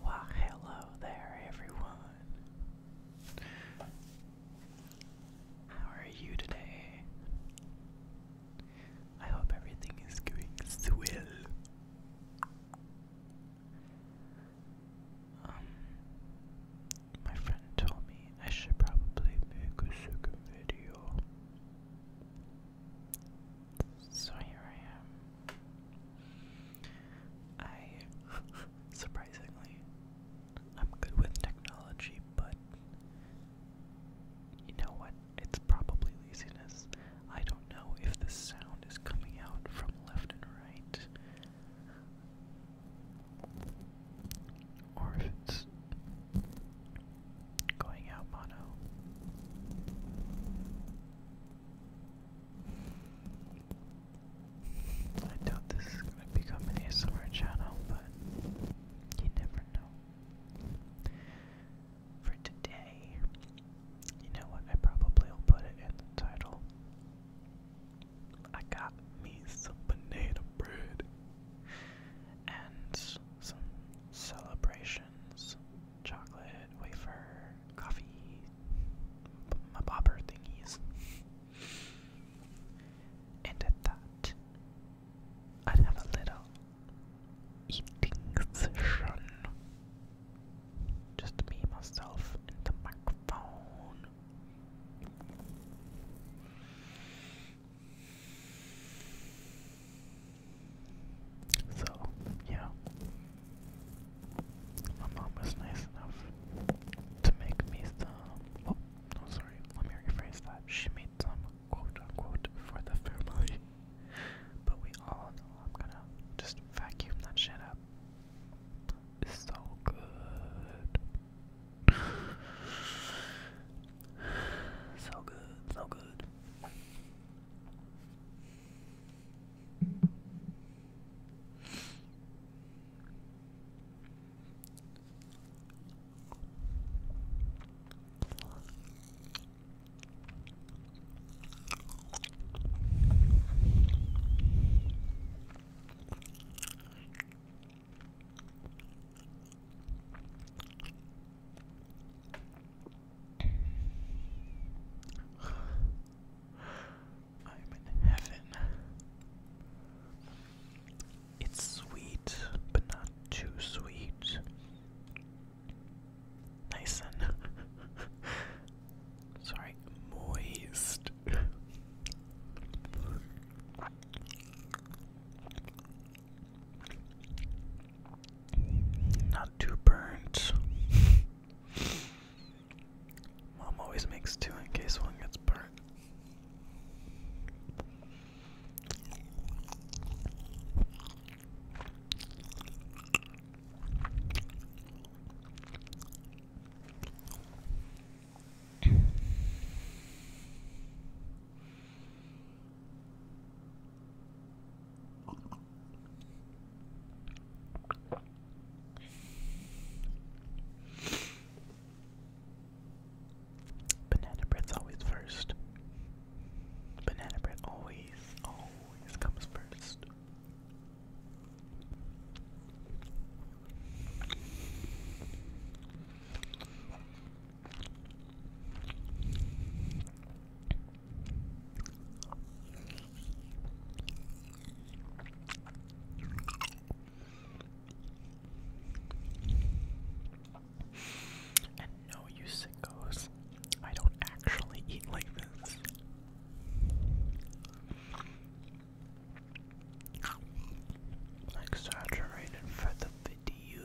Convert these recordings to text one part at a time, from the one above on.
Why, hello there, everyone. How are you today? I hope everything is going swell. Um, my friend told me I should probably make a second video. So here I am. I, surprisingly, I'm good with technology, but you know what? It's probably laziness. I don't know if the sound is coming out from left and right. Or if it's going out mono. I doubt this is going to become an ASMR channel, but you never know. For today, you know what? I probably will put it in title. I got me some banana bread and some celebrations, chocolate, wafer, coffee, my bobber thingies. And at that, I'd have a little eating session. Just me, myself, and the microphone. So, yeah. My mom was nice enough to make me some. Oh, no, sorry. Let me rephrase that. She made some quote unquote for the family. but we all I'm gonna just vacuum that shit up. It's so good. So good, so good. I'm in heaven. It's sweet, but not too sweet. Nice and sorry, moist. Not too burnt. Mom always makes two in case one gets burnt. Banana bread's always first. Banana bread always, always comes first. And no, you sickos, I don't actually eat like this. Exaggerated for the video.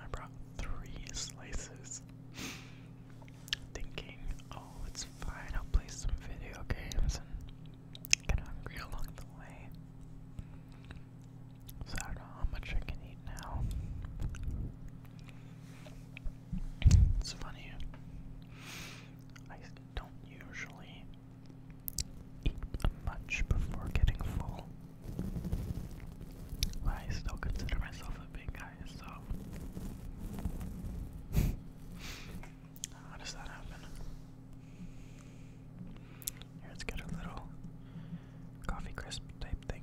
I brought three slices, thinking, oh, it's fine, I'll play some video games and get hungry along the way. So I don't know how much I can eat now. It's funny. I don't usually eat much before getting full. I still consider myself a big guy, so. How does that happen? let's get a little coffee crisp type thing.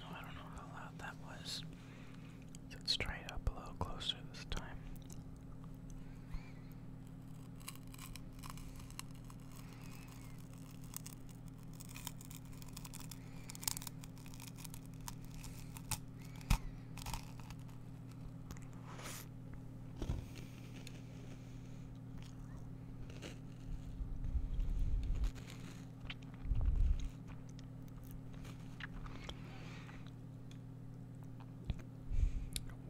Oh, I don't know how loud that was. Let's try it up a little closer this time.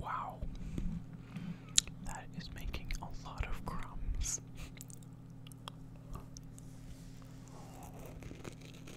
Wow, that is making a lot of crumbs.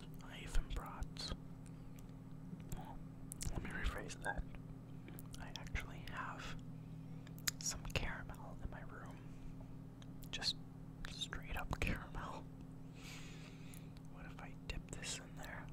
I even brought. let me rephrase that. I actually have some caramel in my room. Just straight up caramel. What if I dip this in there?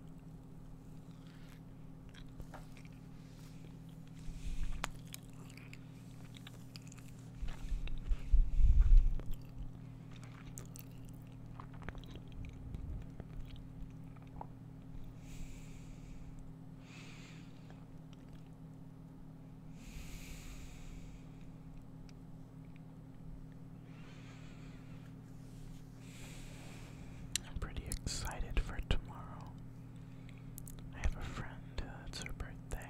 I'm pretty excited for tomorrow. I have a friend, uh, it's her birthday.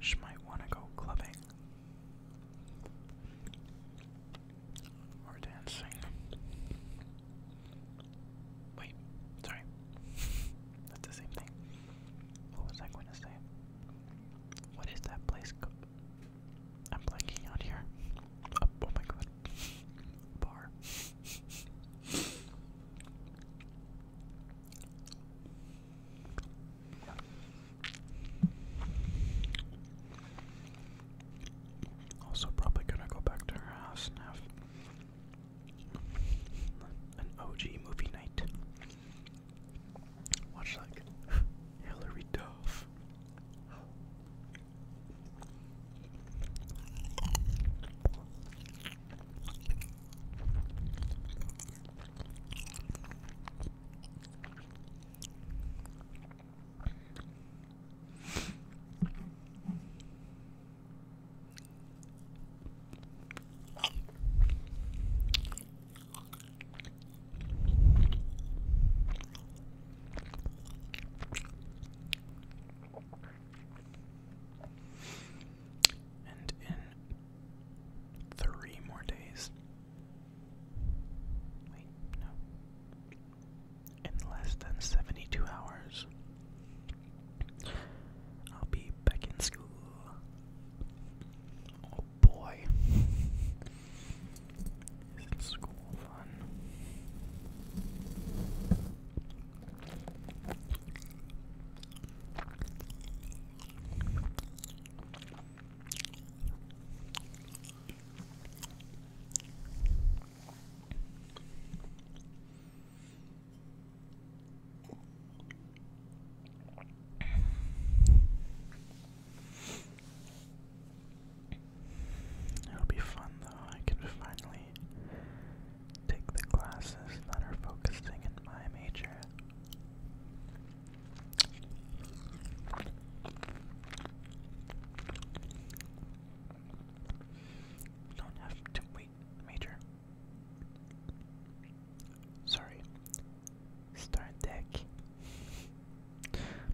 She might want to go clubbing. Or dancing. Wait, sorry. That's the same thing. What was I going to say? What is that place? I'm blanking out here. Oh, oh my god. Bar. Also, probably gonna go back to her house and have an OG movie night. Watch like Hillary Duff. And in three more days. Wait, no in less than 72 hours. I'll be back in school. Oh boy. is school fun? It'll be fun though. I can finally take the classes that are focusing in my major. Don't have to wait, Major. Sorry. C'est deck.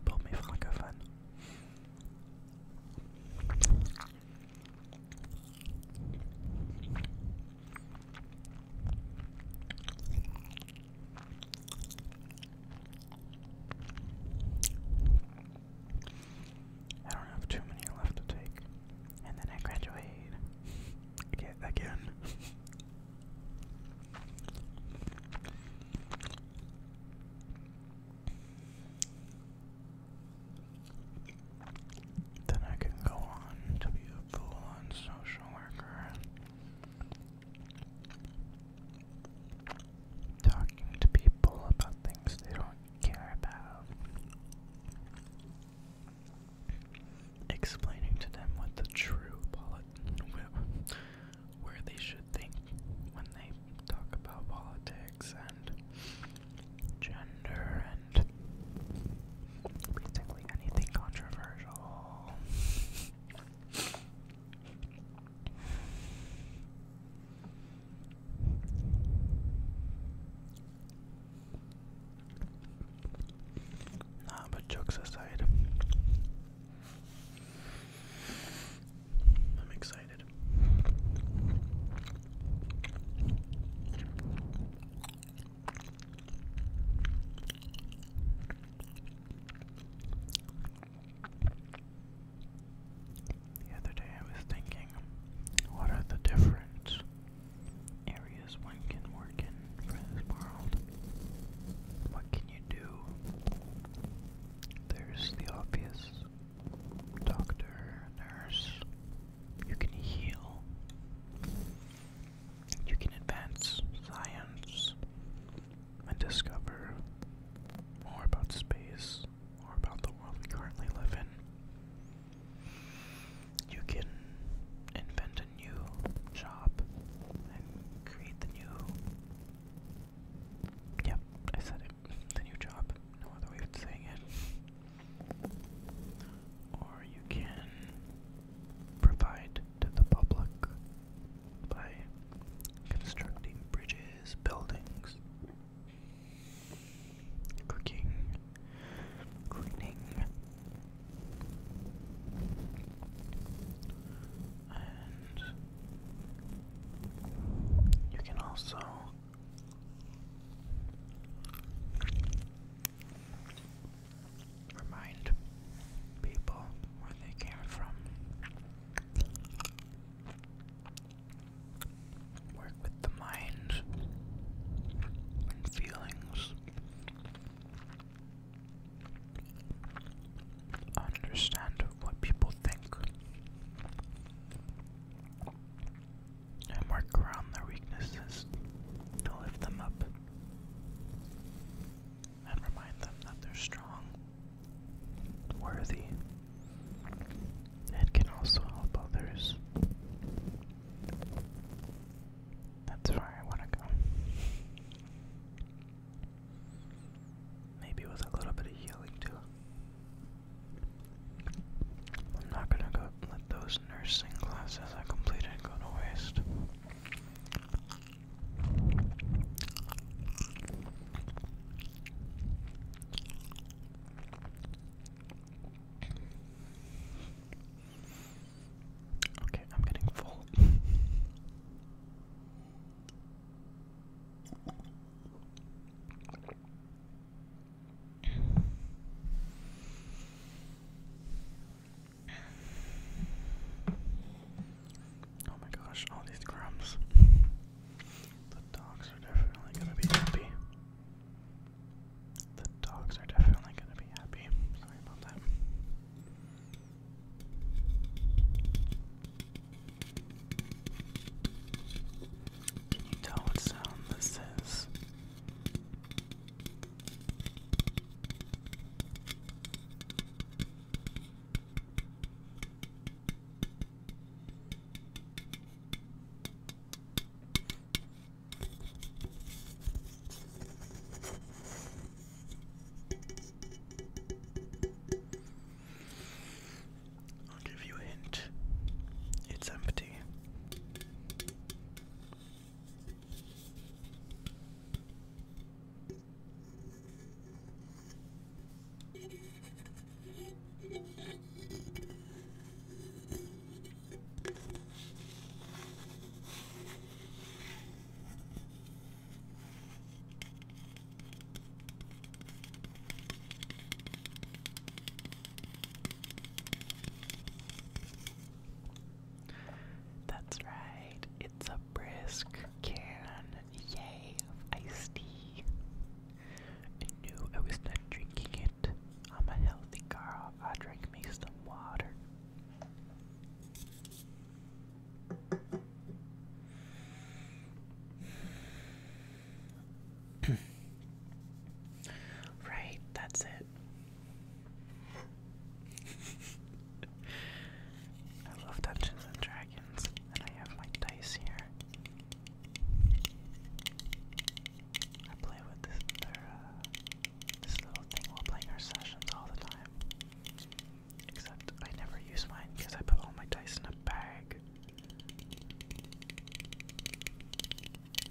Pour mes francophones. I don't have too many left to take. And then I graduate. Again. again. Then I can go on to be a full on social worker, talking to people about things they don't care about. Explaining to them what the true polit where they should think when they talk about politics and gender and basically anything controversial. Nah, but jokes aside, I'm excited. The other day I was thinking, what are the different areas one can work in for this world? What can you do? There's the obvious doctor, nurse. You can heal. You can advance science and discover more about space or about the world we currently live in. You can invent a new job and create the new. Yep, I said it. The new job. No other way of saying it. Or you can provide to the public by constructing bridges, buildings, Cooking. Cleaning. And you can also remind people where they came from. Work with the mind and feelings. Understand what people think. And work around their weaknesses to lift them up. And remind them that they're strong, worthy, and can also help others. That's where I want to go. Maybe with a little bit of healing too. I'm not gonna go let those nursing classes I completed go to waste. Okay, I'm getting full. Oh my gosh, all these crumbs. The dogs are definitely gonna be happy. The dogs are definitely going to be happy. Sorry about that. Can you tell what sound this is? I'll give you a hint. It's empty. That's right, it's a brisk can, of iced tea and knew I was not drinking it. I'm a healthy girl. I drink me some water. right, that's it. I love Dungeons and Dragons, and I have my dice here. I play with uh, this little thing while playing our sessions all the time. Except I never use mine because I put all my dice in a bag.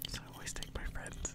So I always take my friends.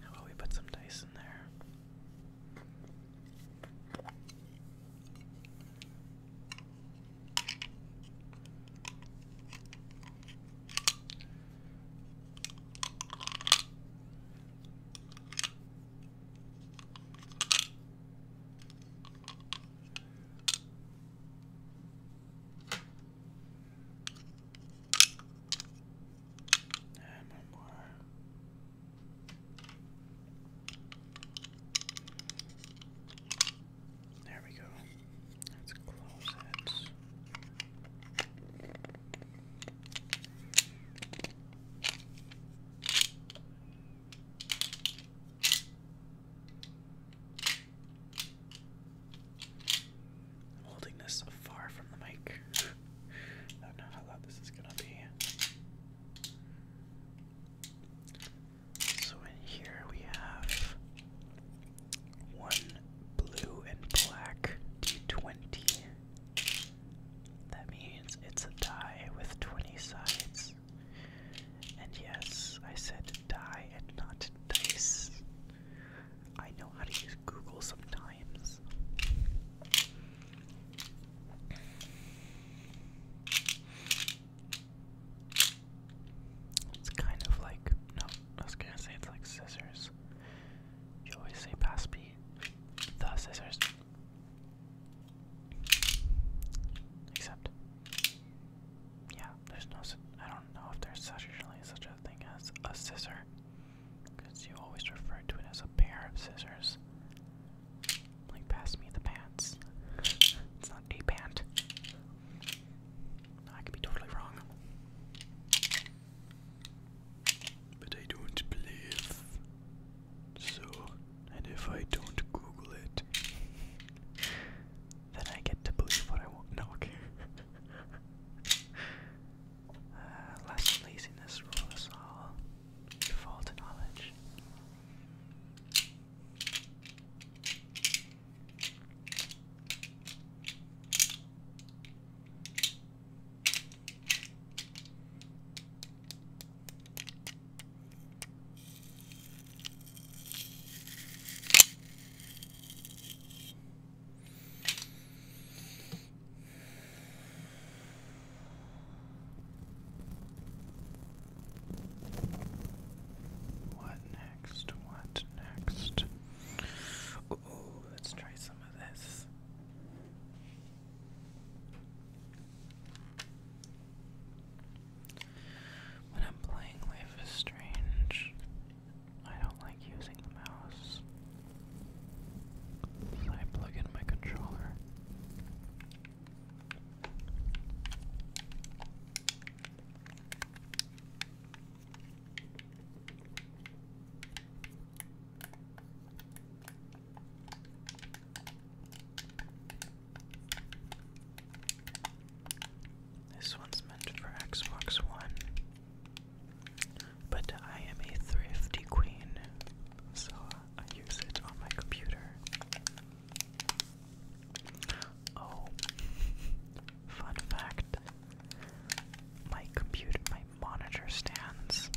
How about we put some dice in there? There we go. Let's close it holding this far from the mic. I don't know how loud this is gonna be. So in here we have one blue and black D20. That means it's a die with 20 sides. And yes, I said die and not dice. I know how to use Google sometimes. It's kind of like, no, I was gonna say it's like scissors. You always say pass me the scissors. Except, yeah, there's no. I don't know if there's such a thing as a scissor, because you always refer to it as a pair of scissors. Like, pass me the pants. It's not a pant. No, I could be totally wrong. But I don't believe so, and if I don't Google it, then I get to believe what I want. No, okay. Uh, less laziness rule us all. Fall knowledge. What next? What next? Ooh, let's try some of this. When I'm playing Life is Strange, I don't like using the mouse. So I plug in my controller. This one's meant for Xbox One, but I am a thrifty queen, so I use it on my computer. Oh, fun fact my computer, my monitor stands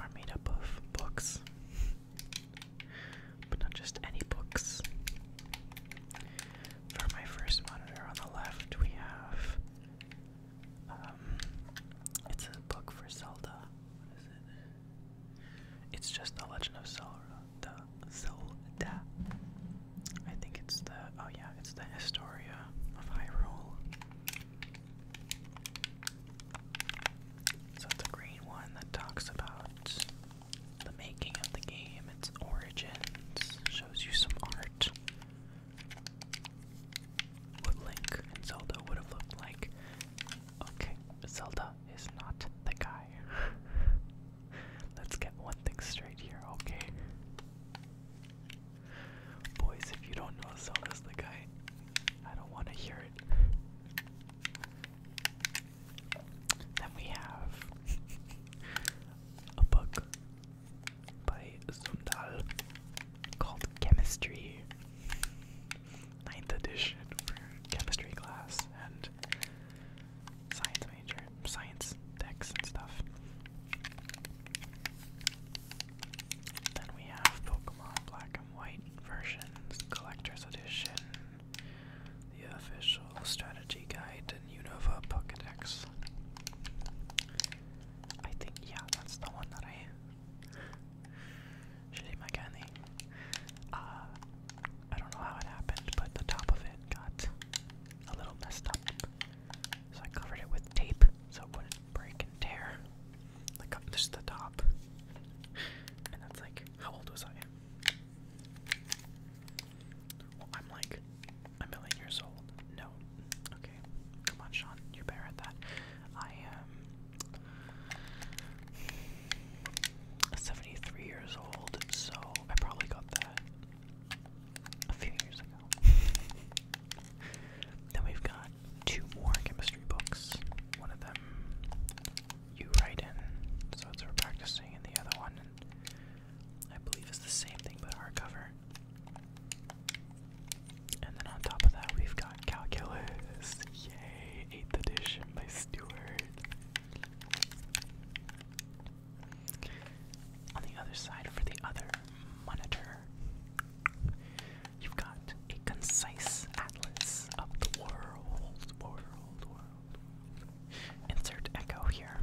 are made up of books but not just any books. For my first monitor on the left, we have um, it's a book for Zelda. What is it? It's just The Legend of Zelda. Zelda. I think it's the oh yeah, it's the Historia of Hyrule. So it's a green one that talks about the making of the game, its origins, shows you some art. What Link and Zelda would have looked like. Okay, Zelda is not the guy. Let's get one thing straight here, okay? Boys, if you don't know Zelda's the guy, I don't want to hear it. Then we have a book by Sundal called Chemistry, ninth edition for chemistry class and science major, science decks and stuff. Then we have Pokemon Black white versions, collector's edition, the official strategy guide, and Unova Pocket I think, yeah, that's the one that I. Shitty my Uh, I don't know how it happened, but the top of it got a little messed up. So I covered it with tape so it wouldn't break and tear. Look Like, uh, just the top. And that's like, how old was I? I'm like a million years old. No. Okay. Come on, Sean. You're better that. I am um, 73 years old, so I probably got that a few years ago. then we've got two more chemistry books. One of them you write in. So it's we're practicing in the other one, and I believe it's the same thing but hardcover. And then on top of that, we've got Calculus. Yay! 8th edition by Stewart. On the other side, for the other monitor, You've got a concise atlas of the world, Insert echo here.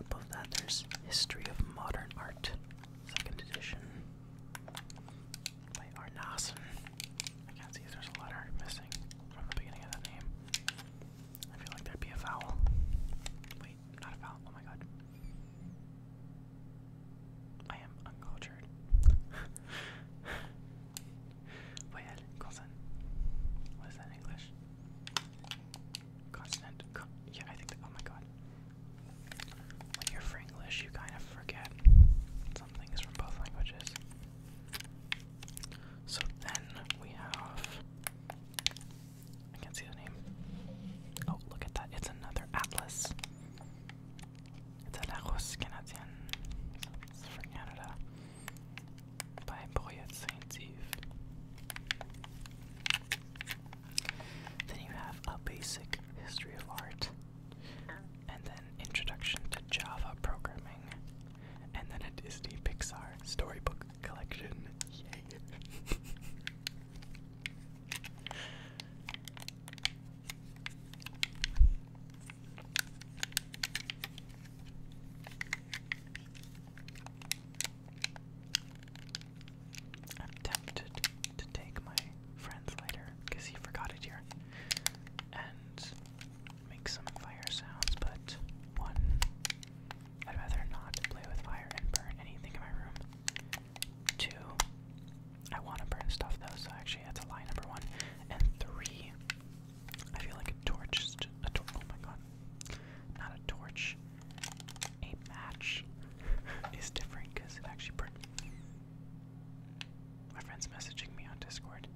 above that, there's History of Modern Art, second edition by Arnason. I can't see there's a letter missing from the beginning of that name. I feel like there'd be a vowel. Wait, not a vowel. Oh my god. I am uncultured. Voyelle, consonant. What is that English? Consonant. yeah, I think Oh my god. When you're Franglish, you kind of forget some things from both languages. So then we have. I can't see the name. Oh, look at that. It's another atlas. It's Then you have a basic history of art, and then introduction to Java programming, and then a Disney Pixar storybook collection. I'm tempted to take my friend's lighter because he forgot it here and make some fire sounds, but one, I'd rather not play with fire and burn anything in my room. Two, I want to burn stuff though, so actually that's a lie number one. And three, I feel like a torch, Just a torch, oh my god, not a torch, a match is different because it actually burns. My friend's messaging me on Discord.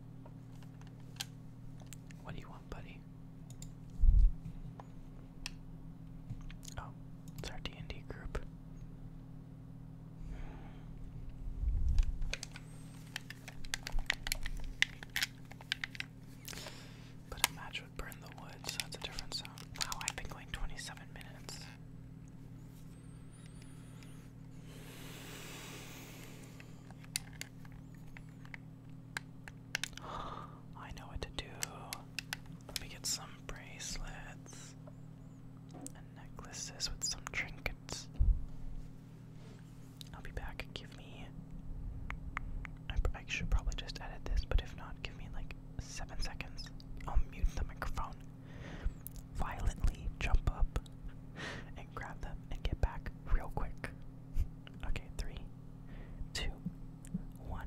What do you want, buddy? Oh, it's our D&D group. But a match would burn the wood, that's a different sound. Wow, I've been going 27 minutes. I know what to do. Let me get some bracelets necklaces with some trinkets. I'll be back. Give me. I, should probably just edit this, but if not, give me like seven seconds. I'll mute the microphone, violently jump up, and grab them and get back real quick. Okay, three, two, one.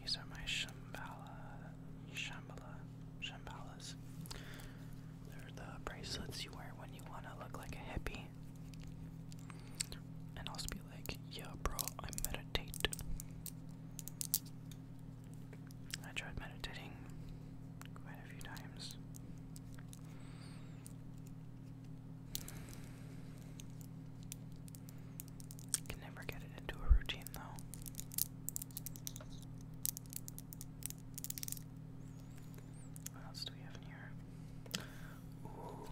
These are my shambala, shambala, Shambalas. They're the bracelets you wear when you want to look like a hippie. And I'll just be like, yeah, bro, I meditate. I tried meditating quite a few times. Can never get it into a routine though. What else do we have in here? Ooh.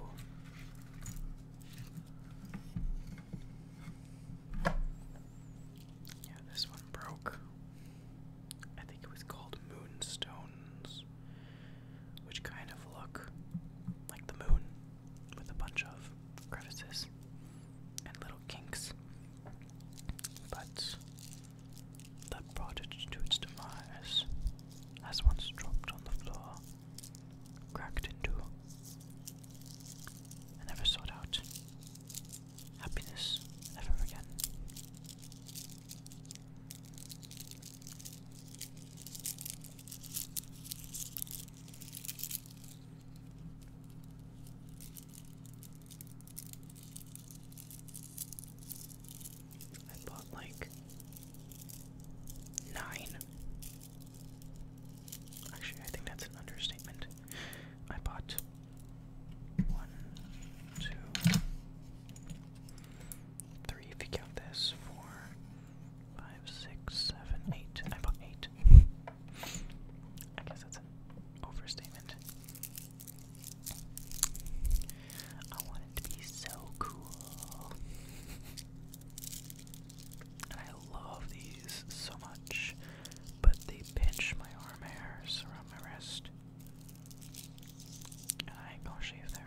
Yeah, this one broke. I think it was called Moonstones, which kind of look like the moon, with a bunch of crevices and little kinks. But that brought it to its demise as once dropped on the floor, cracked into, two, and never sought out happiness ever again. I bought like nine. Actually, I think that's an understatement. I bought one, two, three, if you count this, four, Five, six, seven, eight. I bought eight. I guess that's an overstatement. I want it to be so cool. I love these so much, but they pinch my arm hairs around my wrist. And I ain't gonna shave there.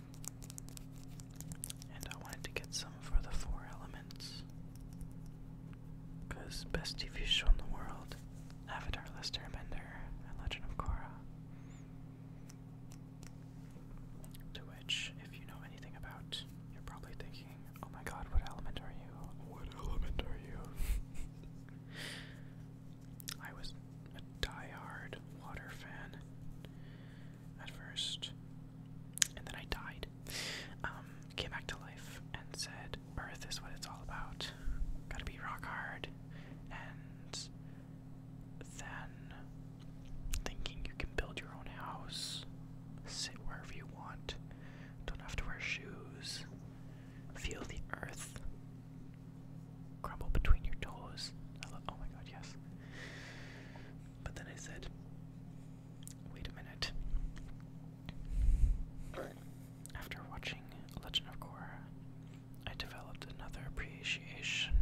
And I wanted to get some for the four elements. best TV show in the world, Avatar Last Airbender and Legend of Korra. To which, if you know anything about, you're probably thinking, oh my god, what element are you? What element are you? I was a die-hard water fan at first, and then I died. Um, came back to life and said, Earth is what it's all about. Gotta be rock hard. And then thinking you can build your own house, sit wherever you want, don't have to wear shoes, feel the earth crumble between your toes. oh my god, yes. But then I said, wait a minute. After watching Legend of Korra, I developed another appreciation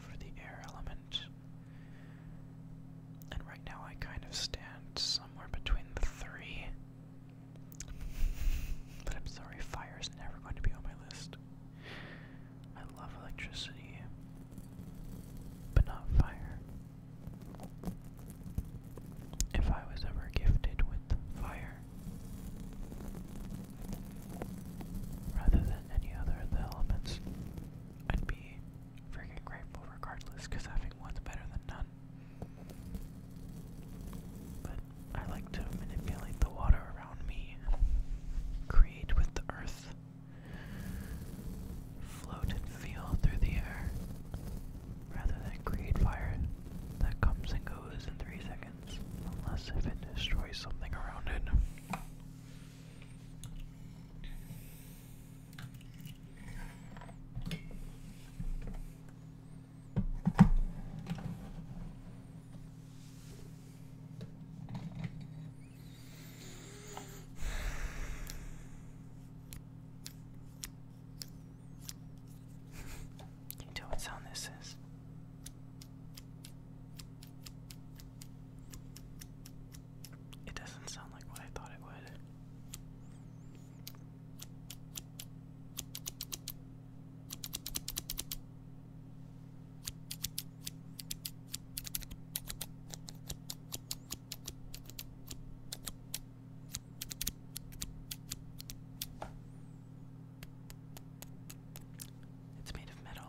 for the air element. And right now I kind of stand somewhere between the three. But I'm sorry, fire is never going to be on my list. I love electricity, but not fire. If I was ever gifted with fire, rather than any other of the elements, I'd be freaking grateful regardless, having one's better than none. But I like to manipulate the water around me, create with the earth, float and feel through the air rather than create fire that comes and goes in three seconds, unless if it destroys something around it. Can what sound this is? It doesn't sound like what I thought it would. It's made of metal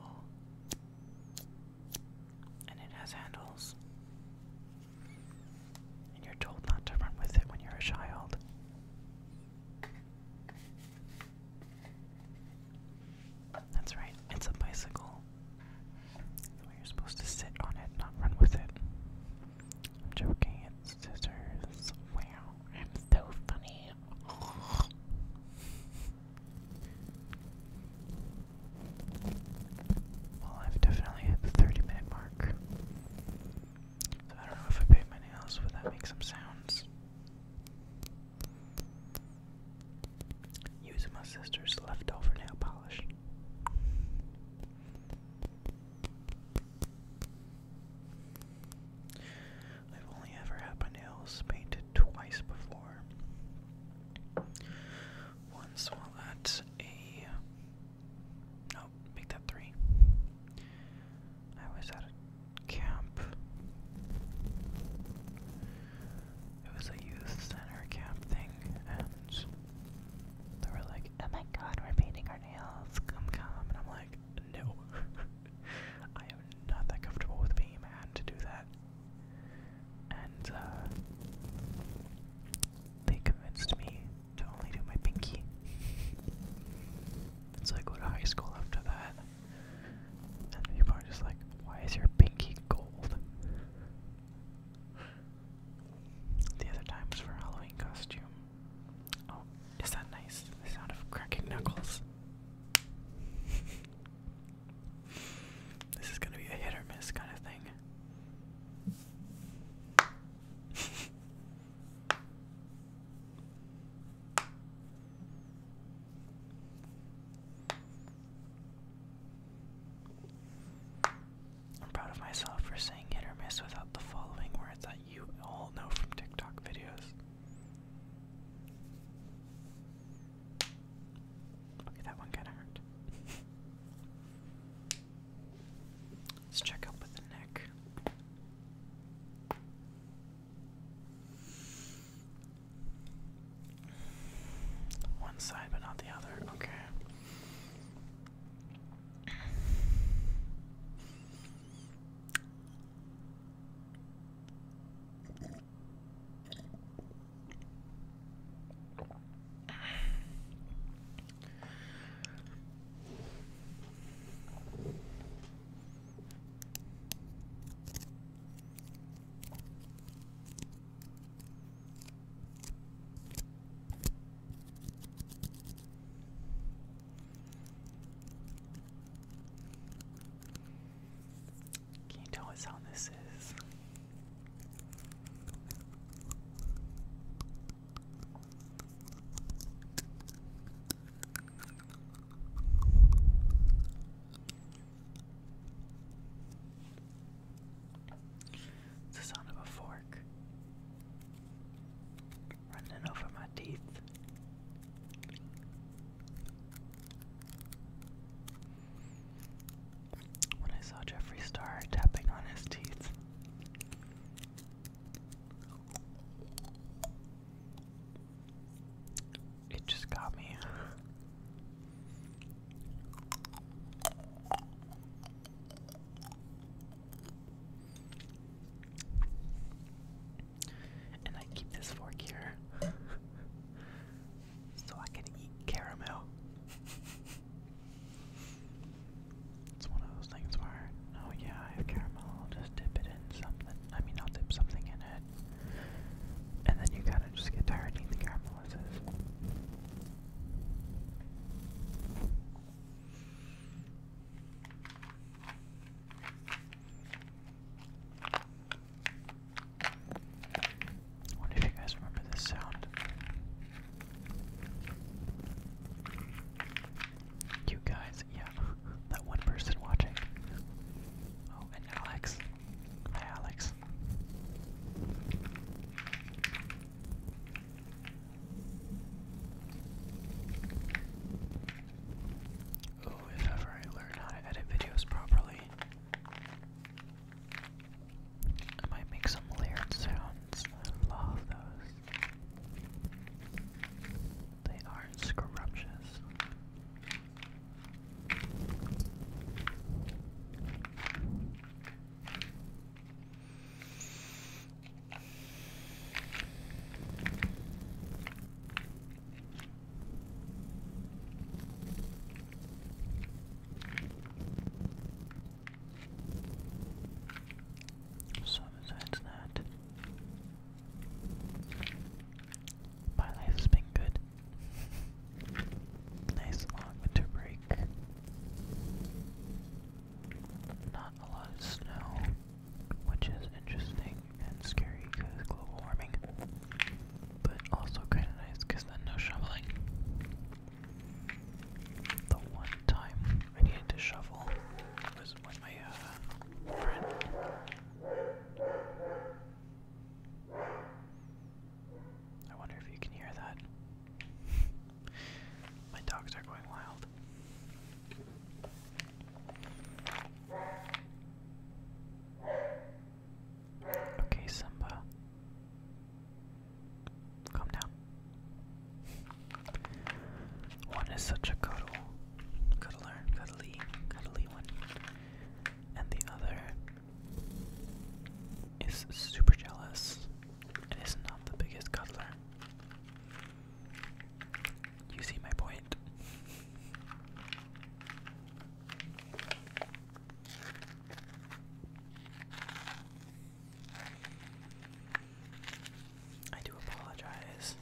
and it has handles. And you're told not to run with it when you're a child. That's right, it's a bicycle. you're supposed to sit on it, not run with it. I'm scissors. Wow, I'm so funny. Well, I've definitely hit the 30 minute mark. So I don't know if I paint my nails, would that make some sounds? Using my sister's leftover nail polish. I've only ever had my nails painted twice before. Once while at a. No, oh, make three. I was at a camp it was a youth center camp thing, and they were like, "Oh my God, we're painting our nails, come come," and I'm like, "No, I am not that comfortable with being a to do that." And uh, they convinced me to only do my pinky. so I go to high school after that, and people are just like, "Why is your pinky gold?" The other times for Halloween costume. Oh, is that nice? The sound of cracking knuckles. this is gonna be a hit or miss kind of thing. I'm proud of myself for saying hit or miss without the following words that you all know from TikTok videos. Okay, that one kinda hurt. Let's check up with the neck. One side, but not the other. Okay. Can you tell us how this is? It's the sound of a fork running over my teeth. When I saw Jeffree Star tapping on his teeth, it just got me. And I keep this fork here so I can eat caramel. It's one of those things where, oh yeah, I have caramel, just dip it in something. I mean, I'll dip something in it. And then you kind of just get tired of eating the caramel I you guys remember this sound. You guys, yeah, that one person watching. Oh, and Alex. Hi, Alex. Oh, if ever I learn how to edit videos properly, I might make some layered sounds. I love those. They are not scrumptious. So besides that, my life has been good. Nice long winter break. Not a lot of snow, which is interesting and scary because global warming, but also kind of nice because then no shoveling. The one time I needed to shovel was when my uh, friend I wonder if you can hear that. My dogs are going wild. Okay, Simba. Calm down. One is such a cuddle, cuddly, cuddly one, and the other is super jealous and is not the biggest cuddler. You see my point. I do apologize.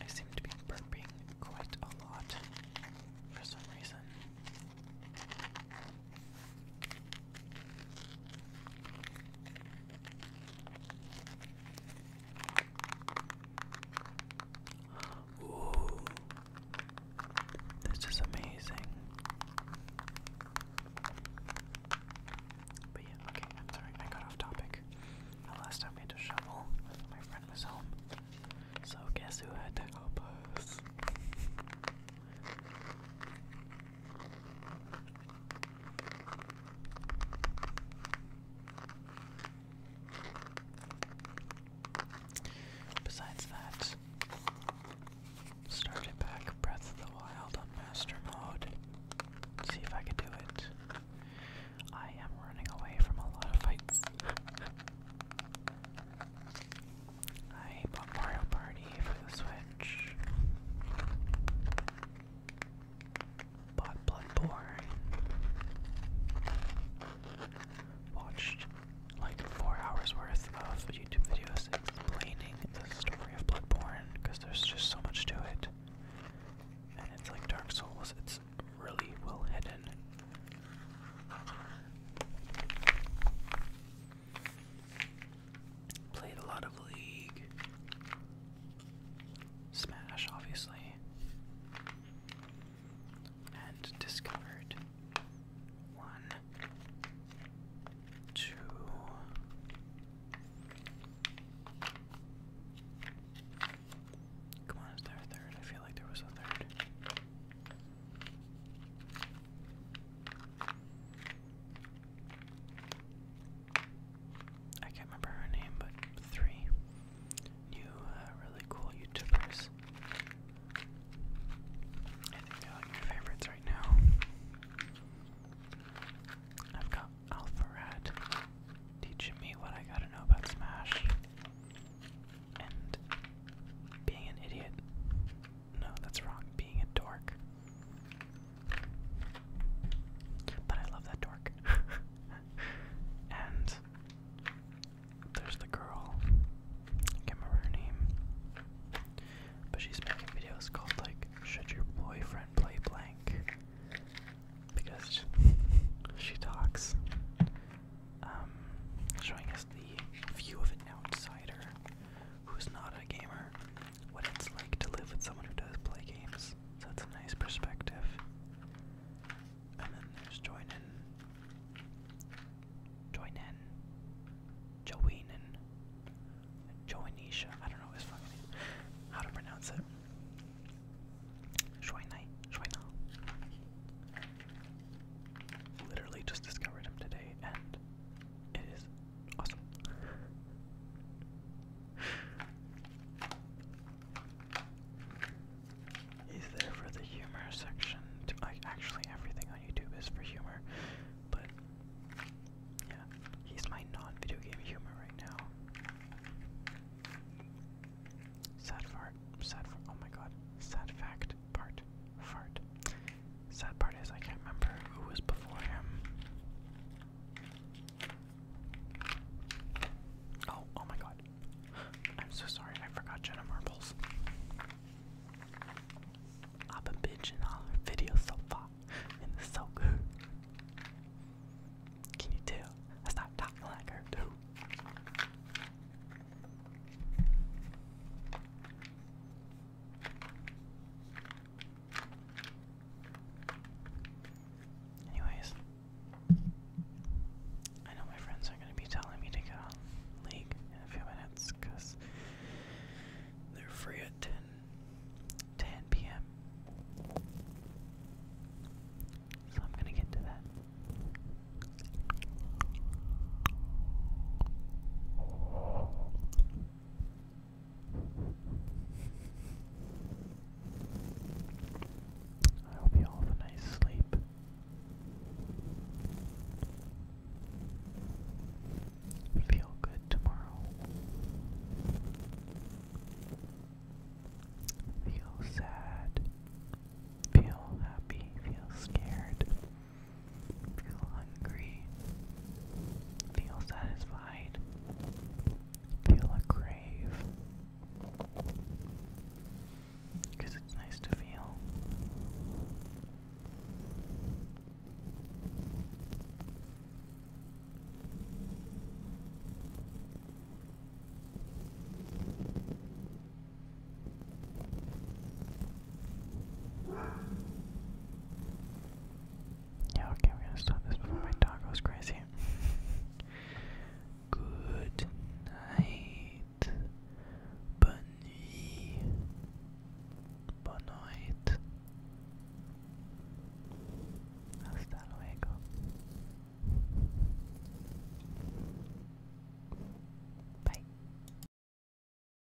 I seem to be burping quite a lot for some reason. Ooh, this is amazing. But yeah, okay, I'm sorry, I got off topic. The last time we had to shovel, my friend was home. So guess who had to help us? Besides that, started back Breath of the Wild on Master Mode. see if I can do it. I am running away from a lot of fights. I bought Mario Party for the Switch. Bought Bloodborne. Watched like four hours worth of YouTube videos explaining the story of Bloodborne because there's just so much to it. And it's like Dark Souls, it's really well hidden. Played a lot of League. Smash, obviously. And discovered one, two, Come on, is there a third? I feel like there was a third. I can't remember her name, but three new, uh, really cool YouTubers. I think they're like my favorites right now. I've got Alpharad teaching me what I gotta know about Smash and being an idiot. No, that's wrong. Being a dork. But I love that dork. and there's the girl. I can't remember her name. But she's making videos called, like, Should Your Boyfriend Play Blank? Because she talks. Um, showing us the view of an outsider who's not a gamer what it's like to live with someone who does play games. that's a nice perspective. And then there's join in, join in, I don't know his fucking How to pronounce it? Joinai, Joina. Literally just discovered him today, and it is awesome. He's there for the humor section. like, actually, everything on YouTube is for humor, but yeah, he's my non-video game humor right now. Sad fart. Sad. Fart. Oh my god. Sad fact fart, fart, Sad part is I can't remember who was before him. Oh, oh my god. I'm so sorry, I forgot Jenna Marbles. I've been bitching all her videos so far, and it's so good. Can you tell? I start talking like her too. Anyways, I know my friends are going to be telling me to get on League in a few minutes because they're free at 10, p.m. So I'm going to get to that. I hope you all have a nice sleep. Feel good tomorrow. Feel sad. Feel happy. Feel scared. Feel hungry. Feel satisfied. Feel a crave. Because it's nice to feel. Yeah, okay, we're gonna stop this before my dog goes crazy. Good night. Bunny. Bon night. Hasta luego. Bye.